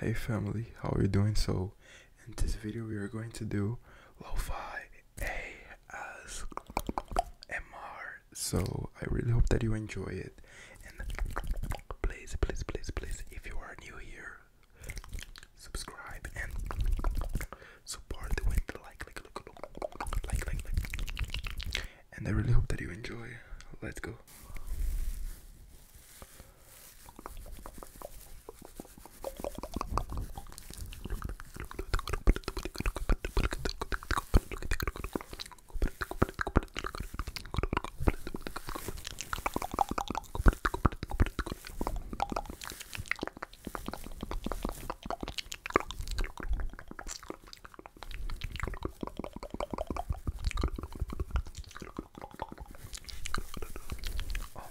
Hey family, how are you doing? So, in this video, we are going to do lo-fi ASMR. So, I really hope that you enjoy it. And please, please, please, please, if you are new here, subscribe and support with the like, like, like, like, like, like, and I really hope that you enjoy. Let's go. Oh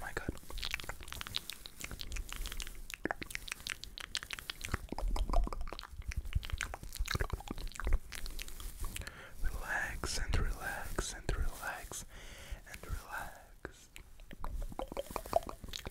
my god. Relax and relax and relax and relax.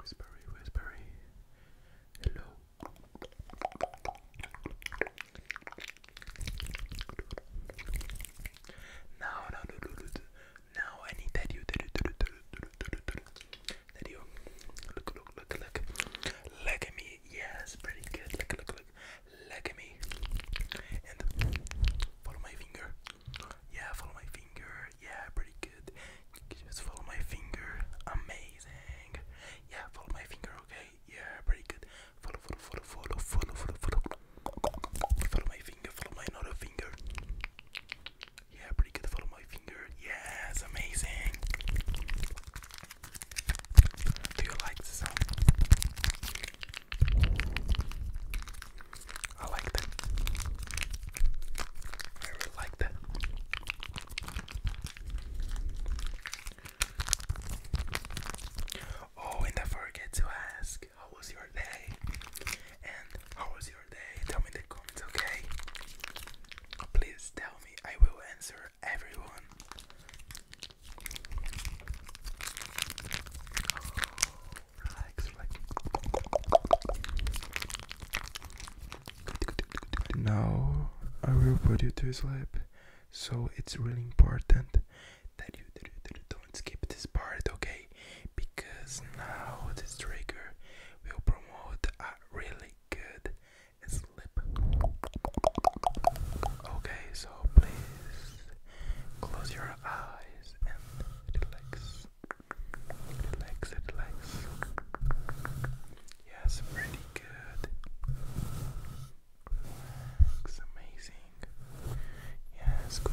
Whispery, whispery. Hello. Now, now, now, I need that you, that you, that you. Look, look, look, look. Look at me. Yes, pretty good. Look, look, look. Look at me. And follow my finger. Yeah, follow my finger. Yeah, pretty good. Just follow my finger. Amazing. Yeah, follow my finger. Okay. Yeah, pretty good. Follow, follow, follow, follow, follow, follow, follow. Follow my finger. Follow my another finger. Yeah, pretty good. Follow my finger. Yes, amazing. Do you like the sound? I like that. I really like that. Oh, and I forget to ask, how was your day? And how was your day? Tell me the comments, okay? Oh, please tell me, I will answer everyone. Now I will put you to sleep. So it's really important that you, that you don't skip this part, okay? Because now this trigger will promote a really good sleep. Okay, so please Close your eyes and relax. Relax, relax. Yes, pretty good. Relax, amazing. Yes, good.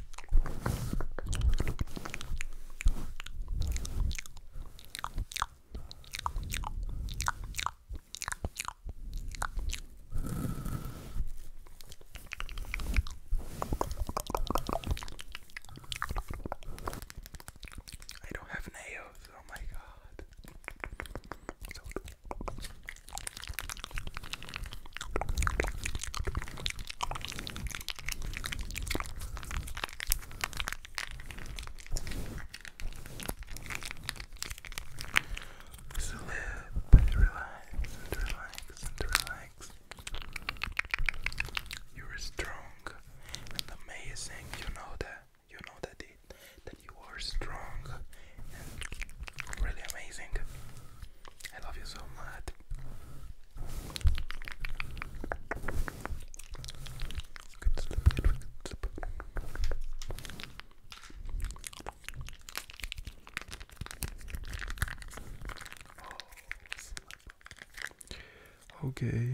I don't have nails, oh my god. So Sleep, relax, and relax, and relax. You're strong and amazing. You know that. You know that it. That you are strong and really amazing. I love you so much. okay.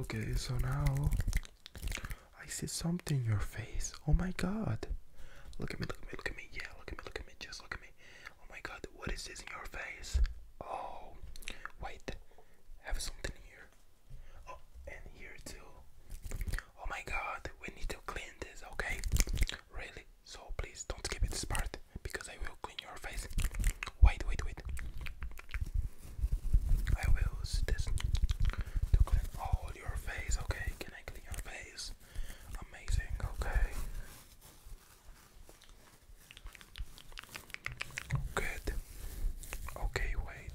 Okay, so now I see something in your face. Oh my god. Look at me, look at me, look at me. Yeah, look at me, look at me. Just look at me. Oh my god, what is this in your face? Oh, wait. I have something here. Oh, and here too. Oh my god, we need to clean this, okay? Really? So please don't skip this part because I will clean your face. Wait, wait, wait. I will use this to clean all your face, okay? Can I clean your face? Amazing, okay. Good. Okay, wait.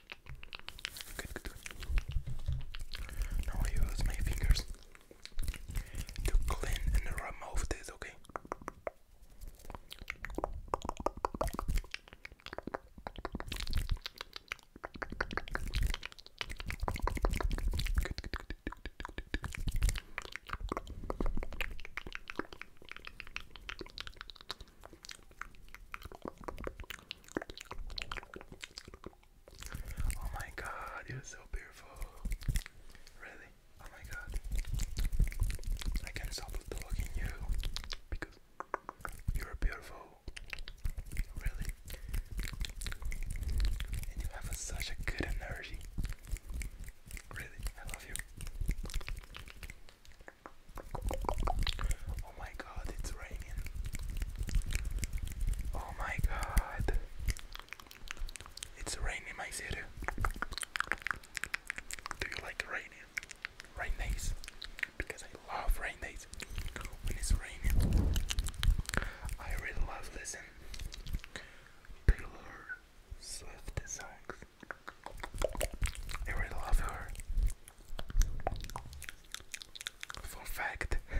Now I use my fingers to clean and remove this, okay? Oh my god, you're so beautiful. Really? Oh my god. I can't stop looking you because you're beautiful. Really. And you have such a good energy. Really, I love you. Oh my god, it's raining. Oh my god. It's raining my city. Do you like raining? Rain days? Because I love rain days. When it's raining. I really love listening Taylor Swift songs. I really love her. Fun fact.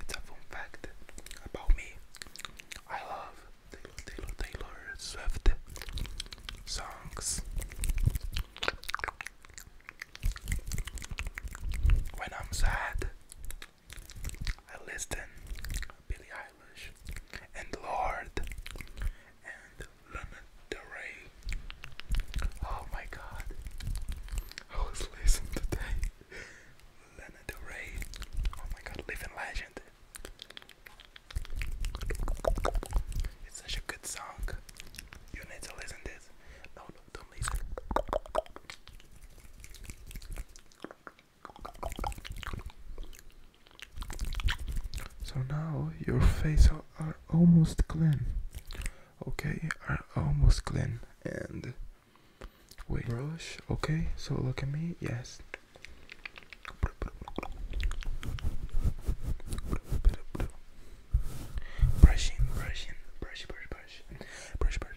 it's a fun fact about me. I love Taylor Swift songs. When I'm sad, I listen and Lord, and Lena Del Oh my God, I was listening today. Lana Del Oh my God, living legend. It's such a good song. You need to listen this. No, no, do listen. So now your face are, are almost clean. Okay, are almost clean. And wait, brush. Okay, so look at me. Yes. Brushing, brushing, brush, brush, brush, brush, brush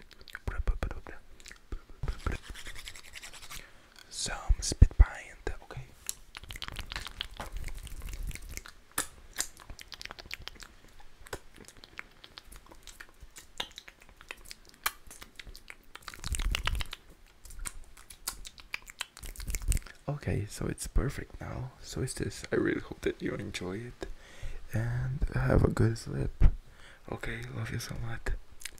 some spit pint, uh, okay. Okay, so it's perfect now. So is this. I really hope that you enjoy it and have a good sleep. Okay, love you so much.